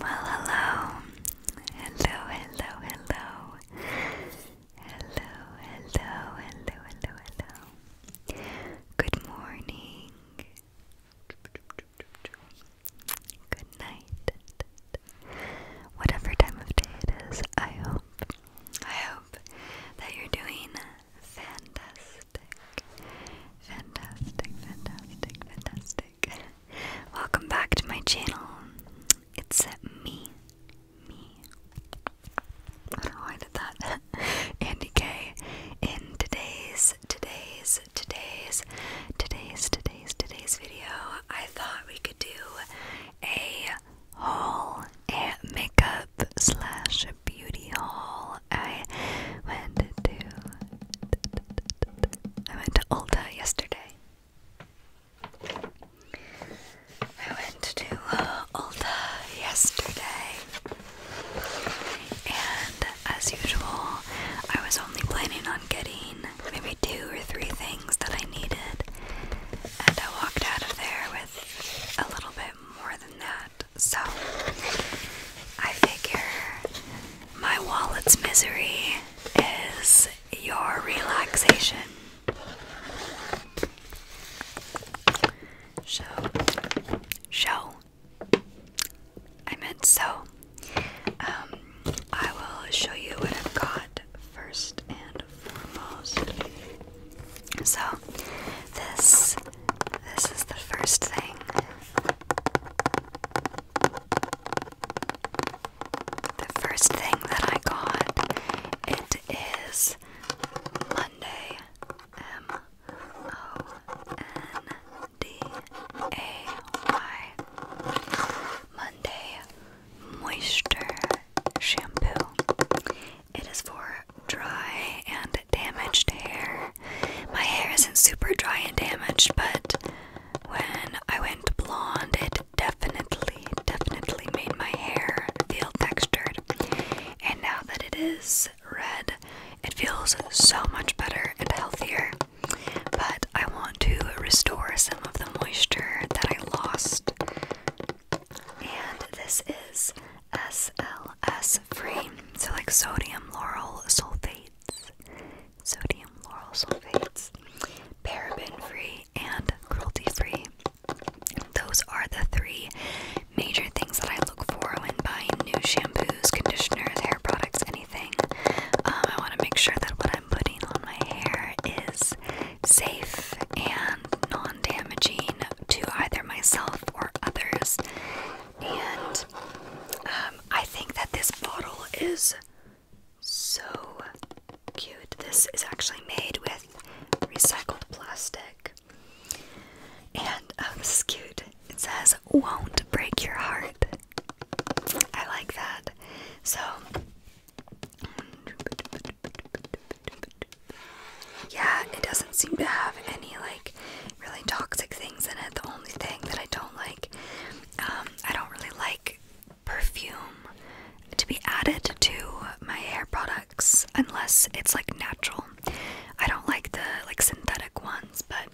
Hello, hello, hello. Hello, hello, hello, hello, hello. Good morning. Good night. Whatever time of day it is, I hope, I hope that you're doing fantastic. Fantastic, fantastic, fantastic music. Welcome back to my channel. It's me, me. why did that. Andy K. In today's, today's, today's, today's, today's, today's video, I thought we could do a haul, a makeup slash beauty haul. I went to I went to Ulta yesterday. I went to uh, Ulta yesterday, and as usual, I was only planning on getting maybe two or three things that I needed, and I walked out of there with a little bit more than that. So I figure my wallet's misery is your relaxation. Show. Show. I meant so. Um, I will show you what i got first and foremost. So, this this is the first thing the first thing that I got, it is Monday, M O N D A Y, Monday Moisture Shampoo. It is for dry and damaged hair my hair isn't super dry and damaged, but when I went blonde, it definitely, definitely made my hair feel textured. And now that it is red, it feels so much better and healthier. But I want to restore some of the moisture that I lost. And this is SLS free, so like sodium laurel sulfate sodium laurel sulfates, paraben free, and cruelty free. Those are the three major things that I look for when buying new shampoos, conditioners, hair products, anything. Um, I want to make sure that what I'm putting on my hair is safe and non damaging to either myself or others. And um, I think that this bottle is so cute. This is actually made with recycled plastic. And oh, cute. It says, Won't break your heart. I like that. So, yeah, it doesn't seem to have any like really toxic things in it. The only thing that I don't like, um, I don't really like perfume to be added to my hair products unless it's like natural. I don't like the like synthetic ones, but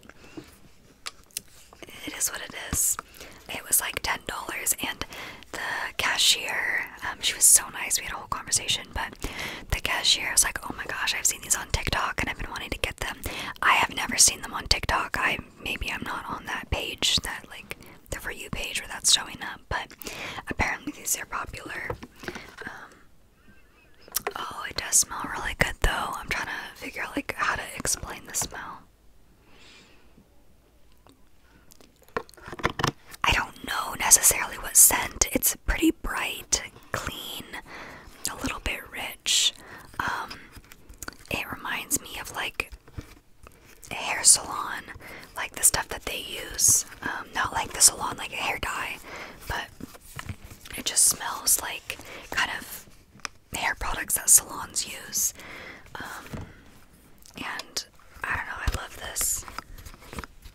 it is what it is. It was like ten dollars, and the cashier, um, she was so nice. We had a whole conversation, but the cashier was like, "Oh my gosh, I've seen these on TikTok, and I've been wanting to get them. I have never seen them on TikTok. I maybe I'm not on that page that like the for you page where that's showing up, but apparently these are popular. Um, oh, it does smell really good though. I'm trying to figure out like how to explain the smell. I don't know necessarily what scent. It's pretty bright, clean, a little bit rich. Um, it reminds me of like a hair salon, like the stuff that they use. Um, not like the salon, like a hair dye, but it just smells like kind of hair products that salons use. Um, and I don't know, I love this.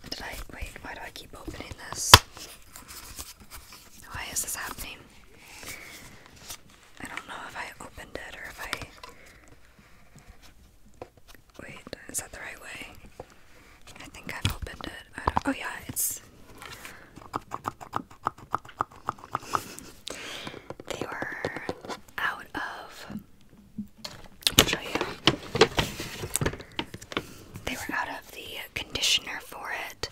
Did I wait? Why do I keep opening this? Why is this happening? I don't know if I opened it or if I. Wait, is that the right way? I think I've opened it. Oh, yeah, it's. They were out of. I'll show you. They were out of the conditioner for it,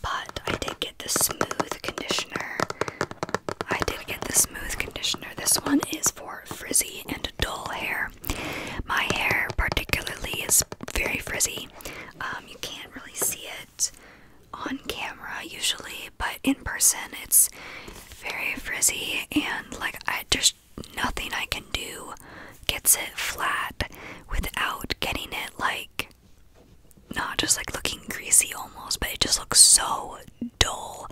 but I did get the smooth conditioner. I did get the smooth conditioner. This one is for frizzy and dull hair. My hair, particularly, is very frizzy. Um, you can't really see it on camera usually, but in person, it's very frizzy and like I just nothing I can do gets it flat without getting it like not just like looking greasy almost, but it just looks so dull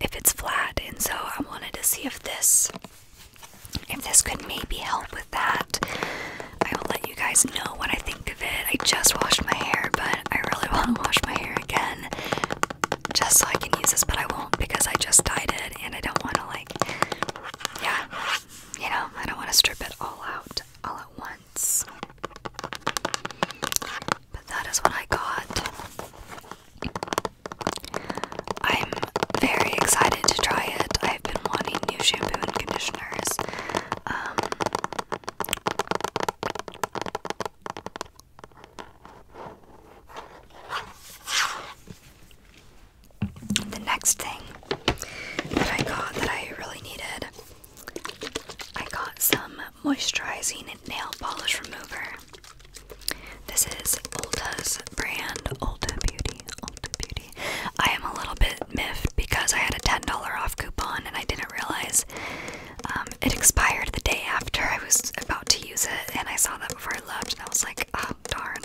if it's flat. And so I wanted to see if this if this could maybe help with that. I will let you guys know what I think of it. I just washed my hair, but I really want to wash my hair again just so I can use this, but I won't because I just dyed it and I don't want to like yeah, you know, I don't want to strip it all out all at once. But that is what I got. I'm very excited to try it. I've been wanting new shampoo and conditioners. Um, the next thing that I got that I really needed, I got some moisturizing nail polish remover. This is Ulta's brand, Ulta Beauty, Ulta Beauty. I am a little bit miffed because I had a $10 off coupon and I didn't realize um, it expired the day after I was about to use it and I saw that before I left and I was like, oh darn.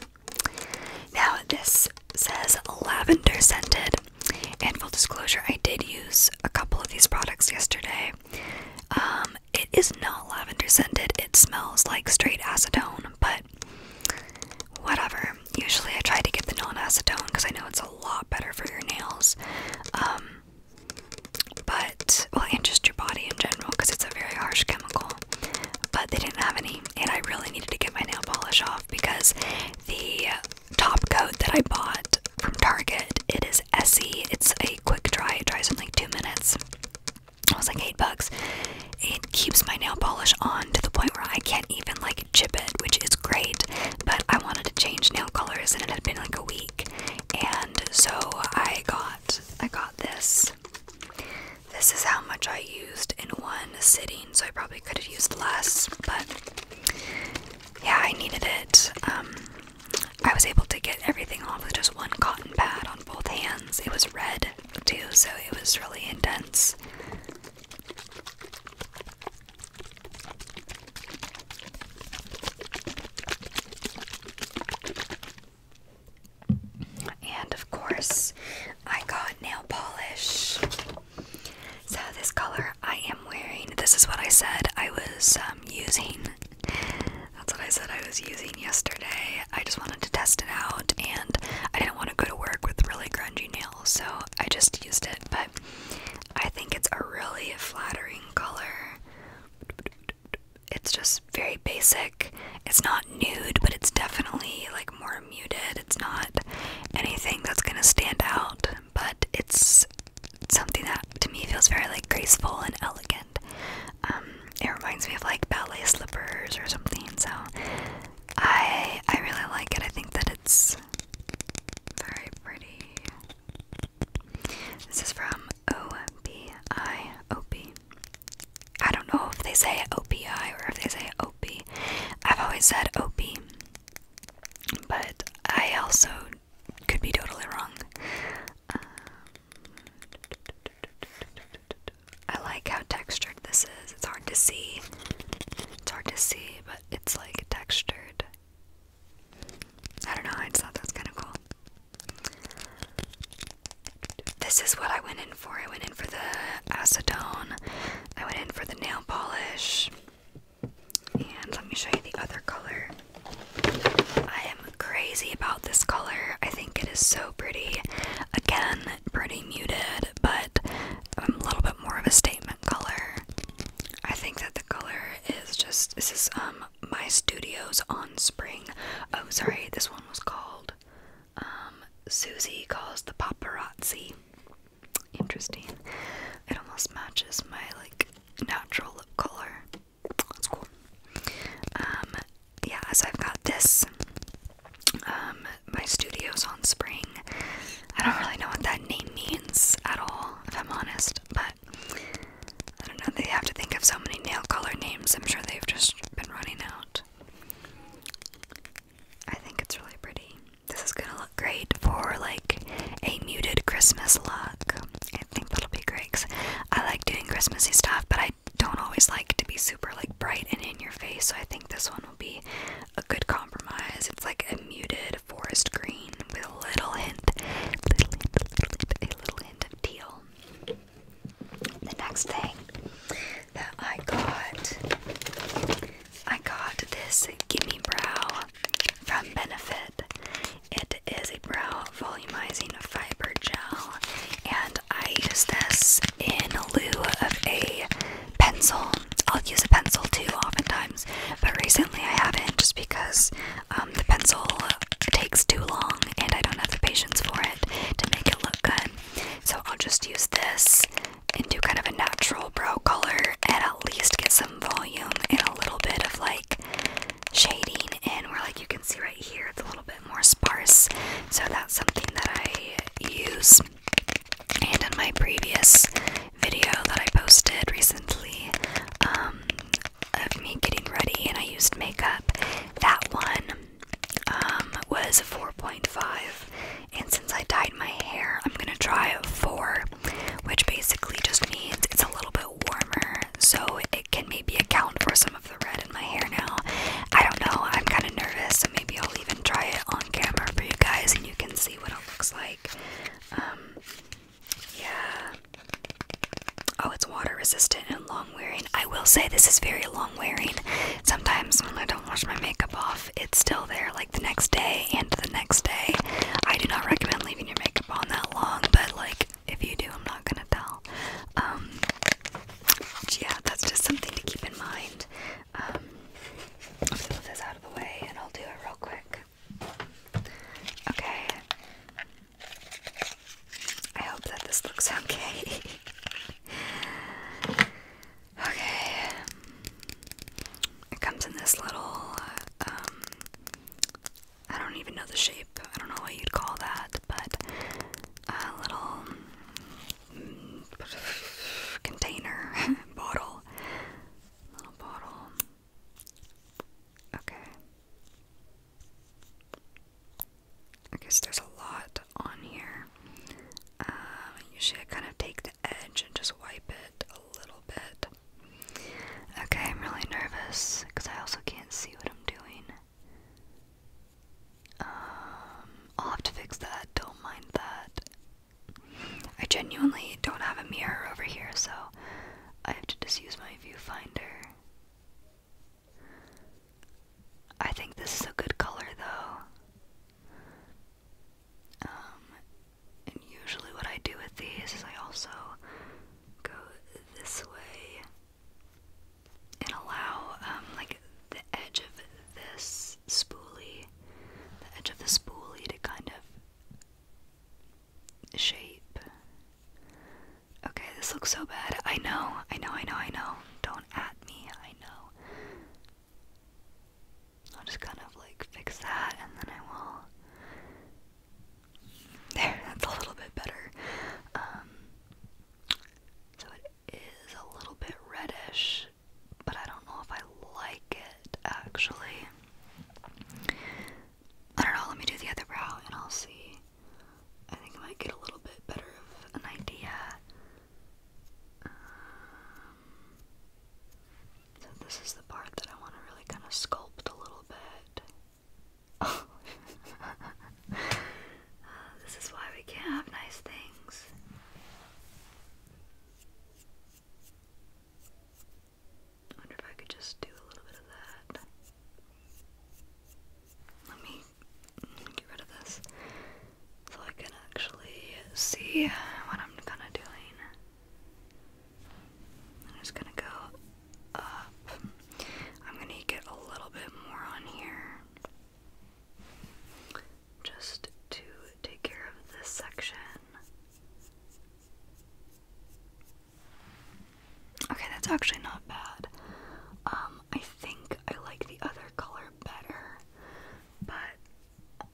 Now, this says lavender scented, and full disclosure, I did use a couple of these products yesterday. Um, it is not lavender scented, it smells like straight acetone, but whatever. Usually, I try to get the non acetone because I know it's a lot better for your nails. Um, but, well, and just your body in general because it's a very harsh chemical. But they didn't have any and I really needed to get my nail polish off because the top coat that I bought from Target, it is Essie. It's a quick dry. It dries in like two minutes. It was like eight bucks. It keeps my nail polish on to the point where I can't even like chip it, which is great. But I wanted to change nail colors, and it had been like a week, and so I got I got this. This is how much I used in one sitting, so I probably could have used less, but yeah, I needed it. Um, I was able to get everything off with just one cotton pad on both hands. It was red too, so it was really intense. And of course, I got nail polish. So this color I am wearing, this is what I said I was um, using. That's what I said I was using yesterday. I just wanted to test it out, and I didn't want to go to work with really grungy nails, so I just used it. But I think it's a really flattering color. It's just very basic. It's not nude, but it's definitely like more muted. It's not anything that's gonna stand out, but it's something that to me feels very like graceful and elegant. Um, it reminds me of like ballet slippers or something. So I I really like it. I think that it's very pretty. This is from OBI OP. I don't know if they say OPI or if they say O Opie. I've always said Opie, but I also could be totally wrong. Um, I like how textured this is. It's hard to see. It's hard to see, but it's like textured. I don't know, I just thought that kind of cool. This is what I went in in I went in for the acetone. I went in for the nail polish. And let me show you the other color. I am crazy about this color. I think it is so pretty. Again, pretty muted, but I'm a little bit more of a statement color. I think that the color is just this is um my studios on spring. Oh sorry, this one was called called. Um, Susie calls the paparazzi. Interesting. It almost matches my like natural lip color. That's cool. Um, yeah, as I've got this. Um, my studio's on spring. I don't really know what that name means at all, if I'm honest, but I don't know. They have to think of so many nail color names. I'm sure they've just been running out. I think it's really pretty. This is gonna look great for like a muted Christmas look. I think that'll be great I like doing Christmasy stuff, but I don't always like to be super like bright and in your face. So I think this one will be a good compromise. It's like a muted forest green with a little hint a little hint of teal. The next thing that I got. I got this Gimme Brow from Benefit. It is a brow volumizing fiber gel, and I use this in lieu of a pencil. I'll use a pencil too, oftentimes, but recently I haven't just because um, the pencil takes too long and I don't have the patience for it to make it look good. So I'll just use this into kind of a natural brow color and at least get some volume and a little bit of like shading in where like you can see right here it's a little bit more sparse so that's something that I use and in my previous video that I posted recently um, of me getting ready and I used makeup that one um, was 4.5 and since I dyed my hair, I'm gonna try four, which basically just means it's a little bit warmer, so it can maybe account for some of the red in my hair now. I don't know, I'm kind of nervous, so maybe I'll even try it on camera for you guys and you can see what it looks like. Um, yeah. Oh, it's water resistant and long wearing. I will say this is very long wearing. Sometimes when I don't wash my makeup off, it's still there like the next day and the next day. I do not recommend leaving your makeup on that long, but like if you do, I'm not gonna tell. Um, yeah, that's just something to keep in mind. Um, i this out of the way and I'll do it real quick. Okay. I hope that this looks okay. Okay. It comes in this little, uh, um, I don't even know the shape. I don't know what you'd call that, but a little mm, container, bottle. Little bottle. Okay. I guess there's a lot on here. Um, usually I kind of take the edge and just wipe it a little bit. Okay, I'm really nervous because I also can't see what I'm doing. Um, I'll have to fix that, don't mind that. I genuinely don't have a mirror over here, so I have to just use my viewfinder. I think this is a good color though. Um, and usually what I do with these is I also go this way and allow um, like the edge of this spoolie, the edge of the spoolie to kind of shape. Okay, this looks so bad. I know, I know, I know, I know. Don't at me, I know. I'll just kind of like fix that and then I will. There, that's a little bit better. Um, so it is a little bit reddish, but I don't know if I like it actually. I don't know, let me do the other brow and I'll see. I think I might get a little bit better of an idea um, so this is the part that I want to really kind of sculpt a little bit. Uh, this is why we can't have nice things. wonder if I could just do a little bit of that. Let me get rid of this so I can actually see what I'm kind of doing. I'm just gonna go up. I'm gonna get a little bit more on here just to take care of this section. Okay, that's actually not bad. Um, I think I like the other color better, but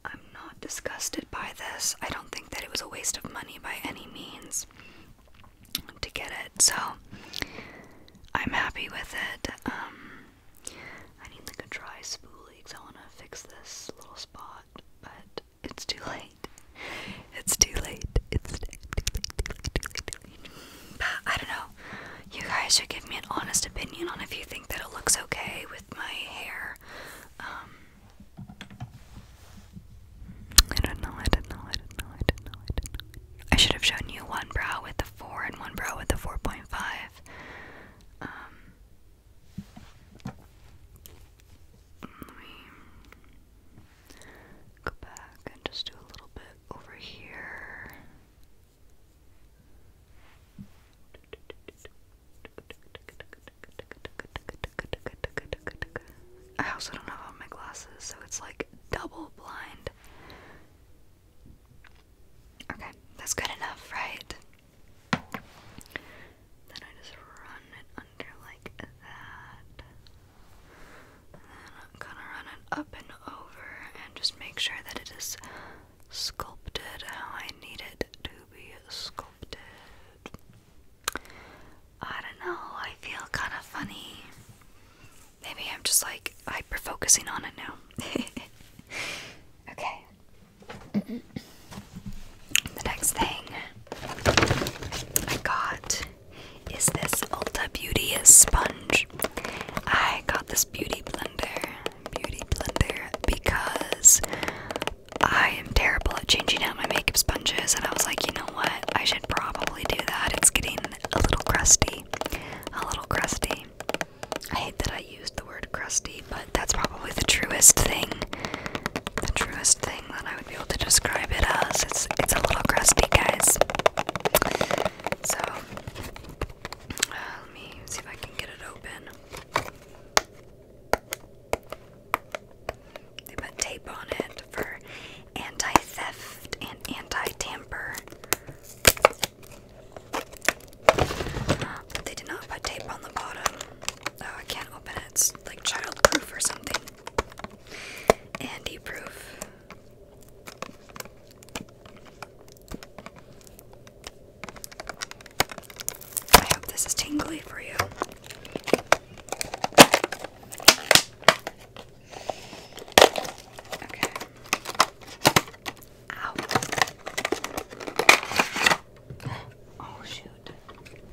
I'm not disgusted by this. I don't think that it was a waste of money by any means to get it, so I'm happy with it. Um, I need like a dry spoolie because I want to fix this little spot, but it's too late. It's too late. It's too late. Too late, too late, too late. I don't know you guys should give me an honest opinion on if you think that it looks okay with my hair. I don't know, I don't know, I don't know, I don't know, I don't know. I should have shown you one brow with the 4 and one brow with the 4.5. let me go back and just do a little bit over here. I also don't have my glasses, so it's like double blind. Okay, that's good enough, right? Then I just run it under like that. then I'm gonna run it up and over and just make sure that it is sculpted how I need it to be sculpted. I don't know, I feel kind of funny. Maybe I'm just like hyper focusing on it now. okay. The next thing I got is this Ulta Beauty Sponge. I got this beauty blender. Beauty Blender because I am terrible at changing out my makeup sponges, and I was like, you know what? I should probably do that. It's getting a little crusty. A little crusty. I hate that I used the word crusty, but that's probably the truest thing. The truest thing that I would be able to describe it as. It's it's a little crusty, guys. So let me see if I can get it open. They put tape on it for anti theft and anti tamper. but uh, they did not put tape on the bottom. Oh, I can't open it. It's like childproof or something. Andy proof. I hope this is tingly for you. Okay. Ow. Oh shoot.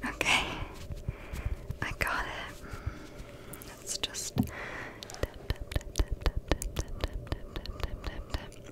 Okay. I got it. let just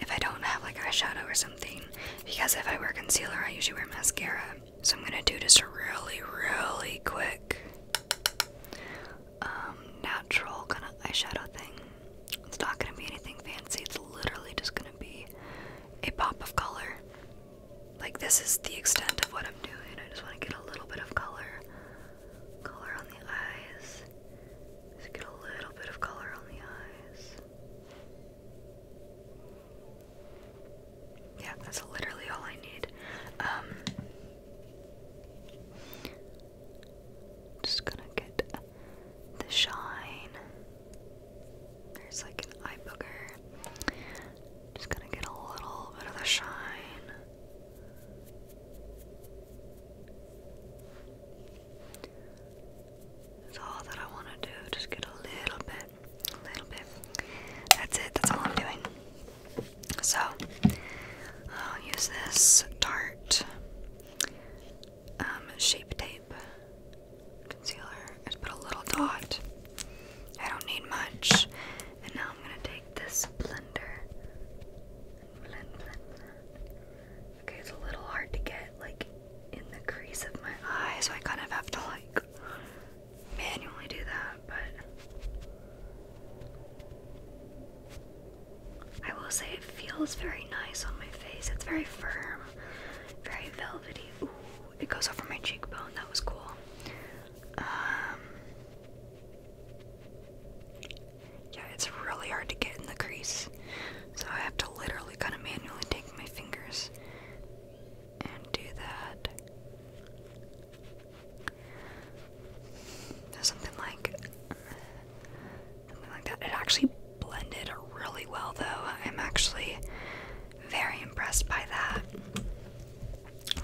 if I don't have like eyeshadow or something. Because if I wear concealer, I usually wear mascara. So I'm gonna do just really, really quick um, natural kind of eyeshadow thing. It's not gonna be anything fancy. It's literally just gonna be a pop of color. Like this is the extent of what I'm doing. I just want to get a little bit of color, color on the eyes. Just get a little bit of color on the eyes. Yeah, that's literally all I need. Um, just gonna get the shine. There's like an eye booger. Just gonna get a little bit of the shine. That's all that I want to do. Just get a little bit, little bit. That's it. That's all I'm doing. So I'll use this Tarte um, shape tape concealer. Just put a little dot. I don't need much. And now I'm gonna take this blender. Okay, it's a little hard to get like in the crease of my eye, so I kind of have to like manually do that, but I will say it feels very nice on my face. It's very firm, very velvety. Ooh, it goes over my cheekbone. That was cool. Um, yeah, it's really hard to get in the crease, so I have to literally kind of manually take my fingers this and do that. Something like something like that. It actually blended really well though. I'm actually very impressed by that.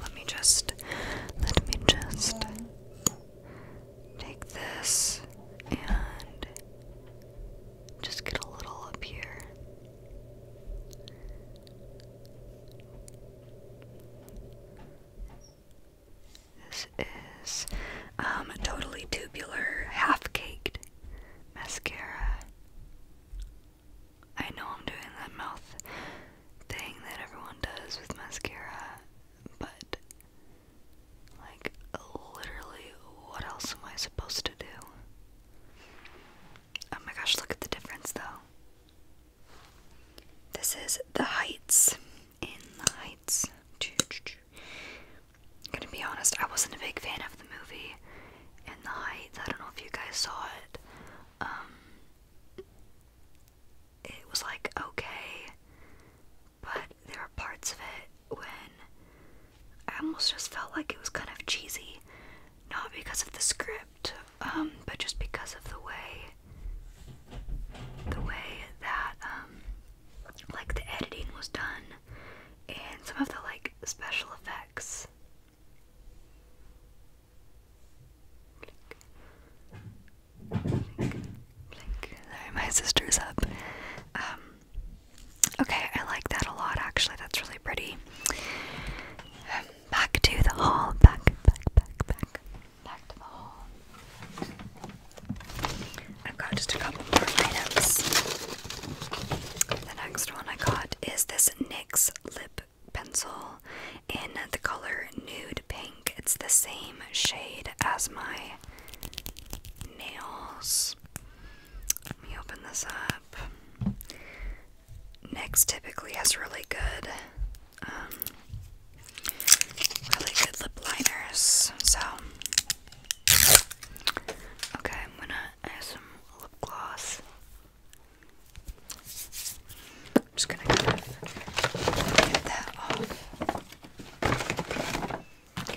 Let me just let me just take this and just get a little up here. This is um, a totally tubular, half caked mascara. I know I'm doing that mouth thing that everyone does with mascara, but like, literally, what else am I supposed to do? Oh my gosh, look at the difference though. This is the heights. In the heights. I'm gonna be honest, I wasn't a big fan of the movie In the Heights. I don't know if you guys saw it. Um it was like okay, but there are parts of it when I almost just felt like it was kind of cheesy, not because of the script, um, but just because of the way, the way that, um, like the editing was done, and some of the like special effects. my sister's up. Um, Okay, I like that a lot actually. That's really pretty. back to the hall. Back, back, back, back. Back to the hall. I've got just a couple more items. The next one I got is this NYX lip pencil in the color Nude Pink. It's the same shade as my nails. Let me open this up. Next typically has really good, um, really good lip liners. So, okay, I'm gonna add some lip gloss. I'm just gonna kind of get that off that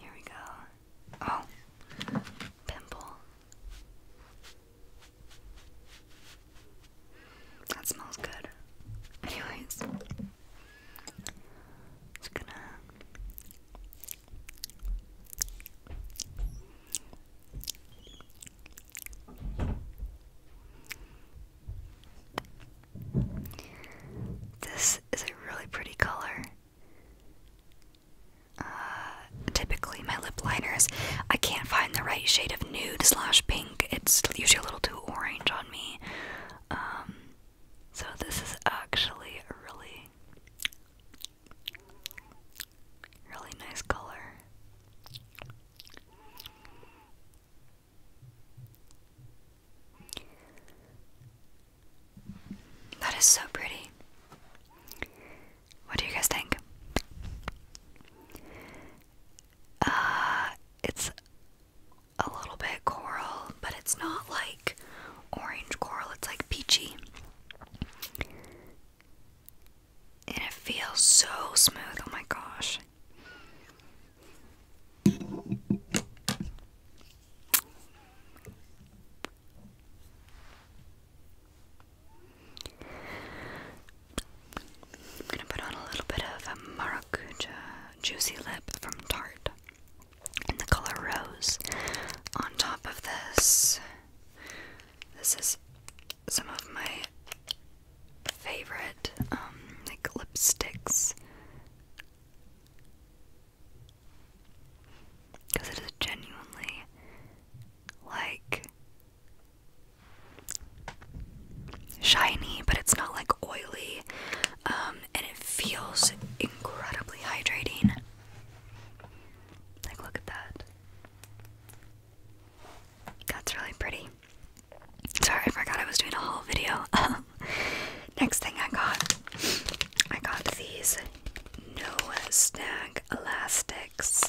Here we go. Oh, pimple. That smells good. Anyways, just gonna. This is a really pretty color. Uh, typically, my lip liners, I can't find the right shade of nude slash pink. It's usually a little too orange on me. Um, so, this is actually a really, really nice color. That is so pretty. What do you guys think? Uh, it's a little bit coral, but it's not like orange coral, it's like peachy. And it feels so smooth, oh my gosh. I'm gonna put on a little bit of a maracuja juicy lip from Tarte in the color rose on top of this. This is some of my favorite um, like lipsticks because it is genuinely like shiny but it's not like oily um, and it feels incredibly hydrating like look at that that's really pretty Sorry, I forgot I was doing a haul video. Next thing I got, I got these no snag elastics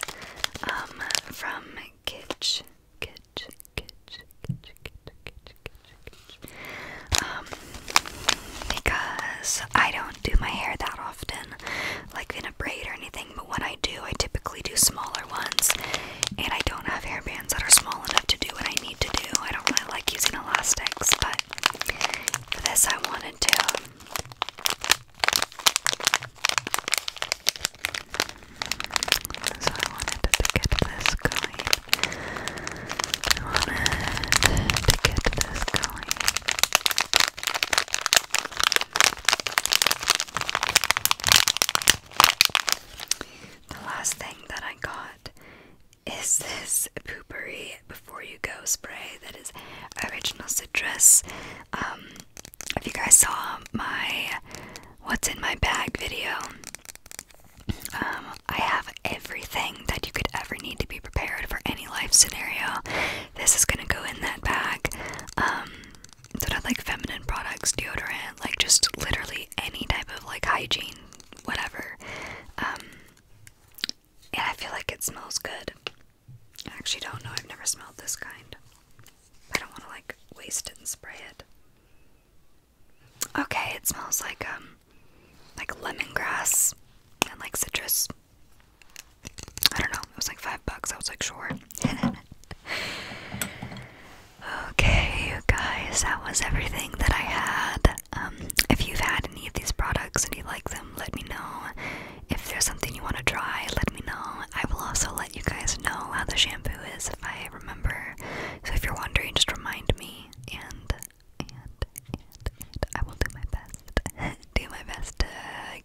um, from Kitsch. Kitsch, Kitsch, Kitsch, Kitsch, Kitsch, Kitsch, Kitsch. Um, because I don't do my hair that often, like in a braid or anything, but when I do, I typically do smaller ones and I don't have hairbands that are small enough to do what I need to do. I don't really like using elastics, but for this I wanted to. So I wanted to get this going. I wanted to get this going. The last thing that I got is this pooperie Before You Go spray that is original citrus. Um, if you guys saw my What's in My Bag video, um, I have everything that you could ever need to be prepared for any life scenario. This is gonna go in that bag. Um, so not like feminine products, deodorant, like just literally any type of like hygiene, whatever. Um, and I feel like it smells good. I actually don't know, I've never smelled this kind. I don't want to like waste it and spray it. Okay, it smells like um like lemongrass and like citrus. I don't know, it was like five bucks. I was like, sure. Okay, you guys, that was everything that I had. Um, if you've had any of these products and you like them, let me know. If there's something you want to try, let me know. I will also let you guys know how the shampoo is if I remember. So if you're wondering, just remind me, and and and, and I will do my best. do my best to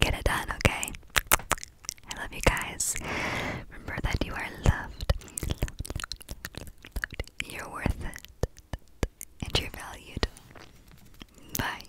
get it done. Okay. I love you guys. Remember that you are loved you're worth it, and you're valued. Bye.